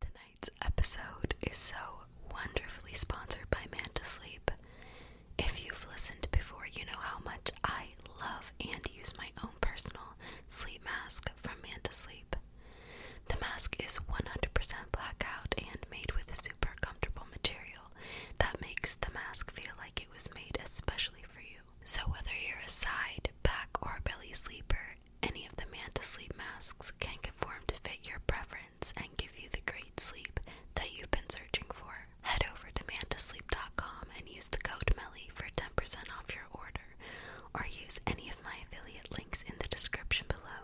Tonight's episode is so wonderfully sponsored by Manta Sleep. If you've listened before, you know how much I love and use my own personal sleep mask from Manta Sleep. The mask is 100% blackout and made with a super comfortable material that makes the mask feel like it was made especially for you. So, whether you're a side, back, or belly sleeper, any of the Manta masks can conform to fit your preference and give you the great sleep that you've been searching for. Head over to mantasleep.com and use the code MELLY for 10% off your order, or use any of my affiliate links in the description below.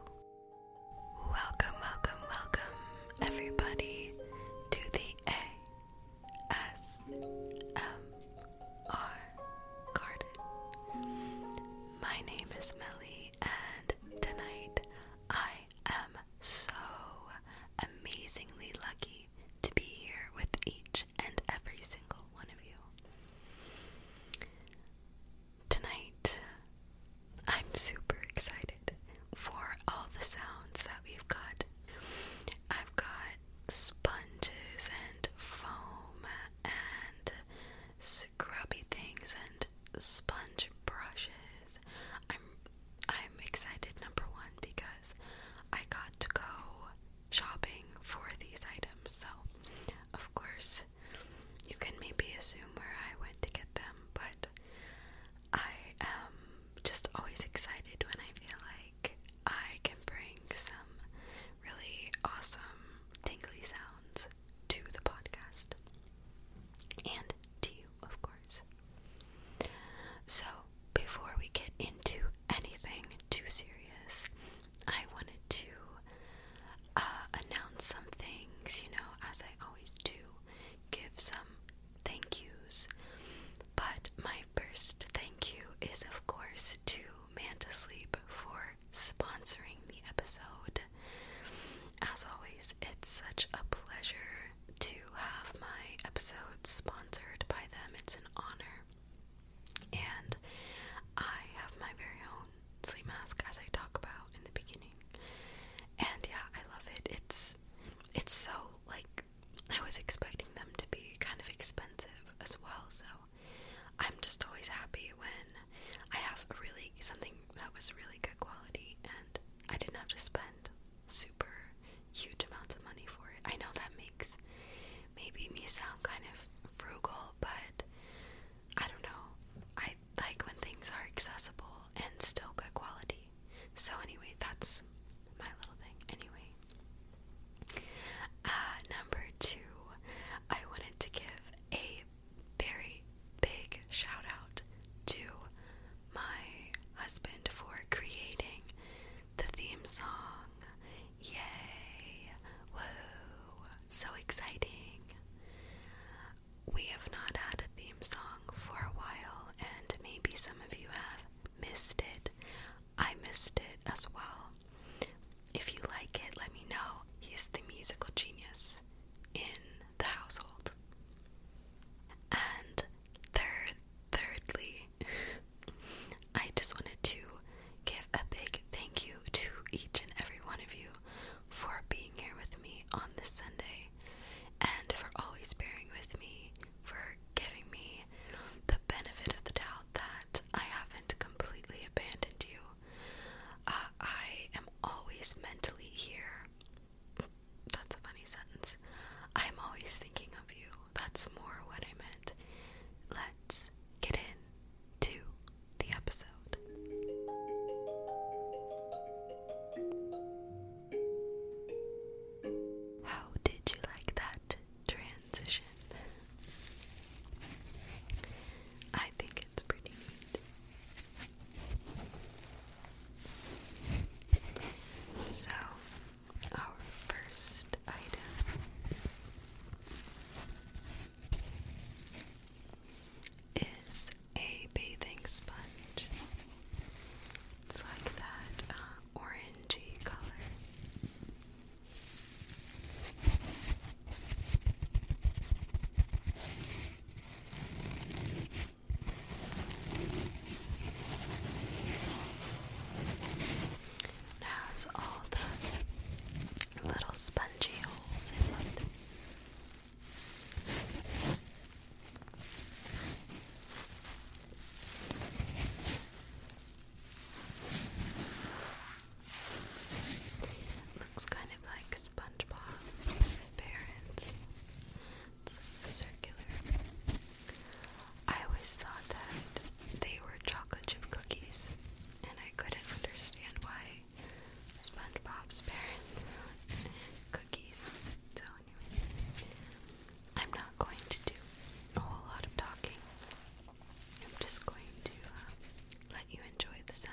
Welcome, welcome, welcome, everybody, to the ASMR my name is Melly, and tonight I am so amazingly lucky to be here with each and every single one of you. Tonight, I'm super excited for all the sounds that we've got. I've got sponges and foam and scrubby things and sponge brushes. I'm I'm excited number one because I got to go shopping for these items. So of course you can maybe assume where I went to get them, but I am just always excited when I feel like I can bring some really awesome tingly sounds to the podcast and to you, of course. So, before we get into anything too serious, I wanted to uh, announce some things, you know, as I always do, give some thank yous. But my first thank you is, of course, to Manta for sponsoring the episode. As always, it's such a pleasure to have my episodes sponsored by them. It's an honor. And I have my very own sleep mask as I talk about in the beginning. And yeah, I love it. It's it's so like I was expecting them to be kind of expensive as well, so I'm just always happy when I have really something that was really good quality and I didn't have to spend super huge amounts of money for it. I know that makes maybe me sound kind of frugal, but I don't know. I like when things are accessible and still good quality. So anyway, that's my little thing. Anyway, uh, number two, I wanted to give a very big shout out to my husband for creating the theme song. Yay! So exciting! We have not had a theme song for a while, and maybe some of you have missed it. I missed it as well. If you like it, let me know. He's the musical genius in the household. And third, thirdly, I just wanted to give a big thank you to each and every one of you for being here with me on this Sunday and for always bearing with me, for giving me the benefit of the doubt that I haven't completely abandoned you. Uh, I am always mentally here. That's a funny sentence. I'm always thinking of you. That's more what I meant. Let's get in the episode. How did you like that transition. I think it's pretty neat. So, our first item is a bathing sponge. It's like that uh, orangey color. Now it's all the little spongy holes in it. Looks kind of like SpongeBob's parents. circular. I always thought that they were chocolate chip cookies, and I couldn't understand why SpongeBob's parents cookies. So anyway, I'm not going to do a whole lot of talking. I'm just going to uh, let you enjoy the sounds.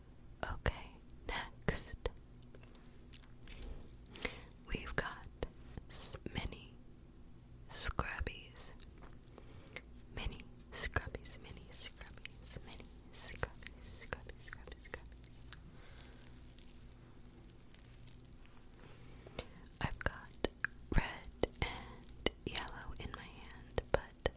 Okay, next we've got mini scrubbies. Mini scrubbies, mini scrubbies, mini scrubbies, scrubbies, scrubbies, scrubbies. I've got red and yellow in my hand, but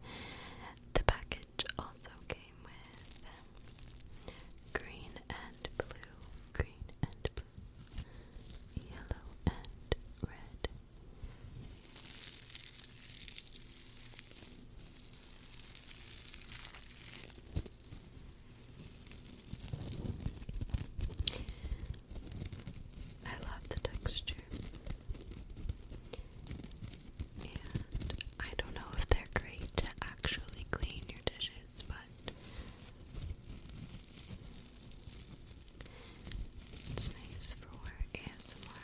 the package also came with um, green and blue, green and blue, yellow and red. I love the texture. I don't know if they're great to actually clean your dishes, but it's nice for ASMR.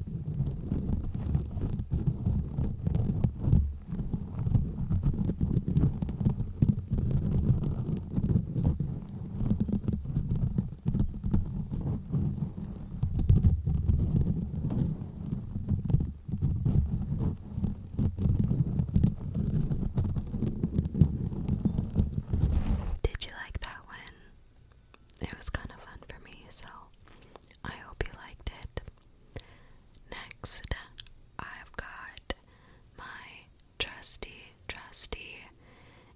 Did you like that one? It was kind of fun for me, so I hope you liked it. Next, I've got my trusty, trusty,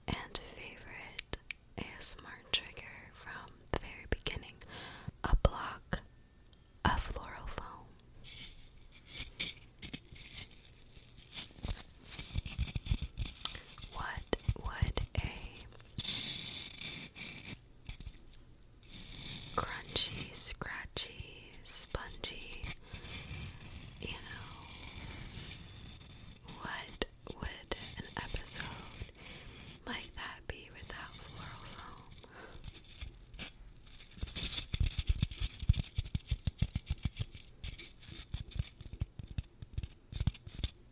and favorite ASMR trigger from the very beginning a block of floral foam. What would a crunchy, scratchy, spongy. You know, what would an episode like that be without floral oh foam?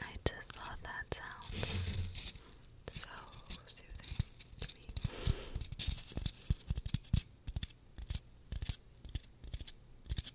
I just love that sound. So soothing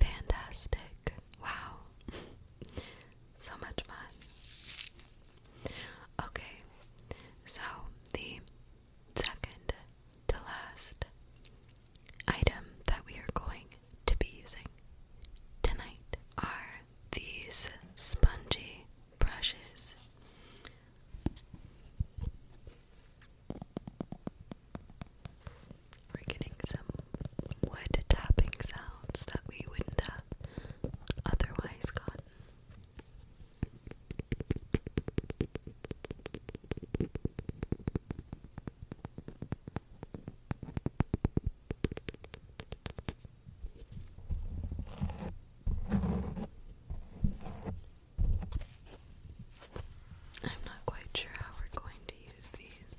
Fantastic. Wow. so much fun. Okay, so the second to last item that we are going to be using tonight are these spongy brushes. We're getting some wood tapping sounds that we wouldn't have otherwise gotten. I'm not quite sure how we're going to use these.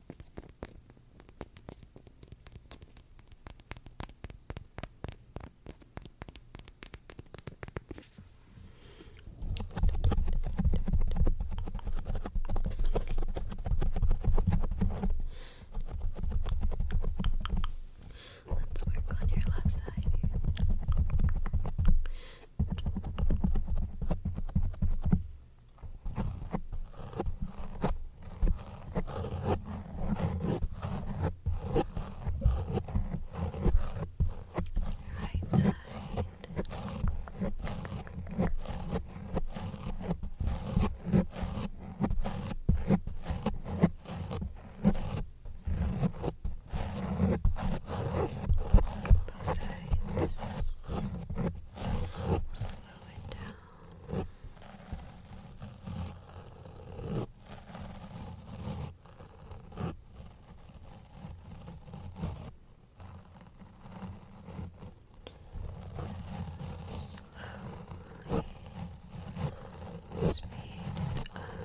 Let's work on your left side here. Right side. Both sides. Right. Slow it down. Slowly speed up. Slow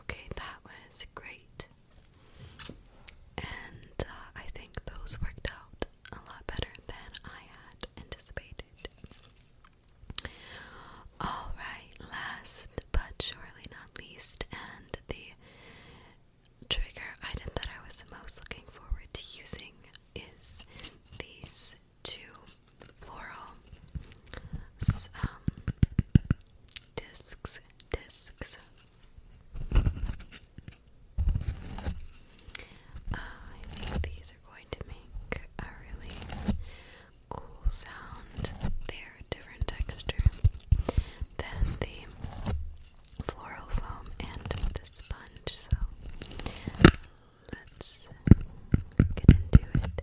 Okay, that was great. And uh, I think those worked out a lot better than I had anticipated. Alright, last but surely not least, and the trigger item that I was most looking forward to using is these to floral um, discs, discs. Uh, I think these are going to make a really cool sound. They're a different texture than the floral foam and the sponge. So let's get into it.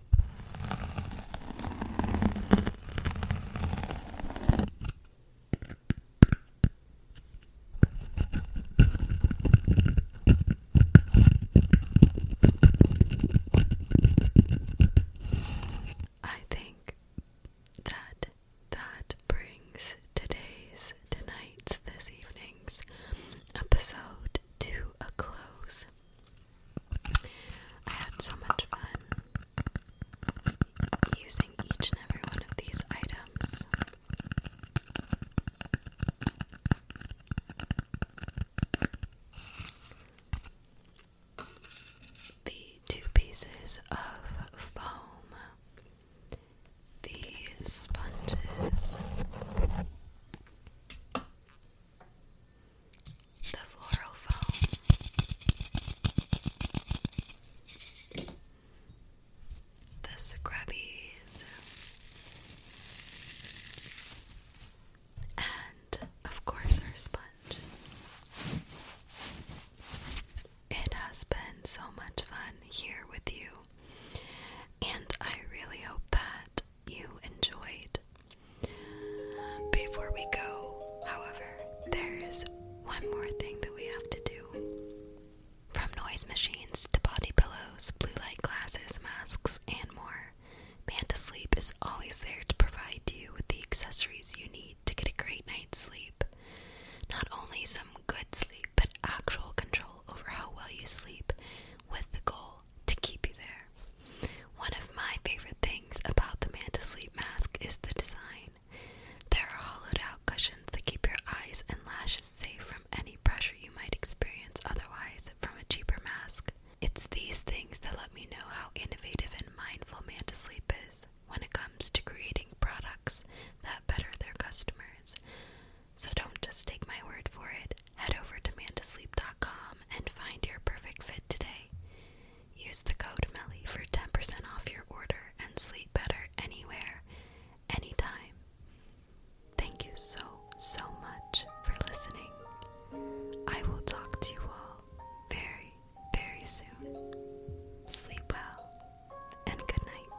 I think that that brings today's, tonight's, this evening's episode to a close. I had so much fun using each and every one of these items. The two pieces of foam, the sponges, the floral foam, the scrubbies, and of course our sponge. It has been so much fun here with you, and I really hope that you enjoyed before we go, however, there is one more thing that we have to do. From noise machines to body pillows, blue light glasses, masks, and more, Manta Sleep is always there to provide you with the accessories you need to get a great night's sleep. Not only some good sleep, but actual control over how well you sleep with the goal to keep you there. One of my favorite things about the Manta Sleep Mask is the design. There are hollowed out cushions that keep your eyes and lashes safe from any pressure you might experience otherwise from a cheaper mask. It's these things that let me know how innovative and mindful Manta Sleep is when it comes to creating products that better their customers. So don't just take my word for it. Head over to mantasleep.com and find your perfect fit today. Use the code MELLY for 10% off your order and sleep better anywhere, anytime. Thank you so, so much for listening. I will talk to you all very, very soon. Sleep well and good night.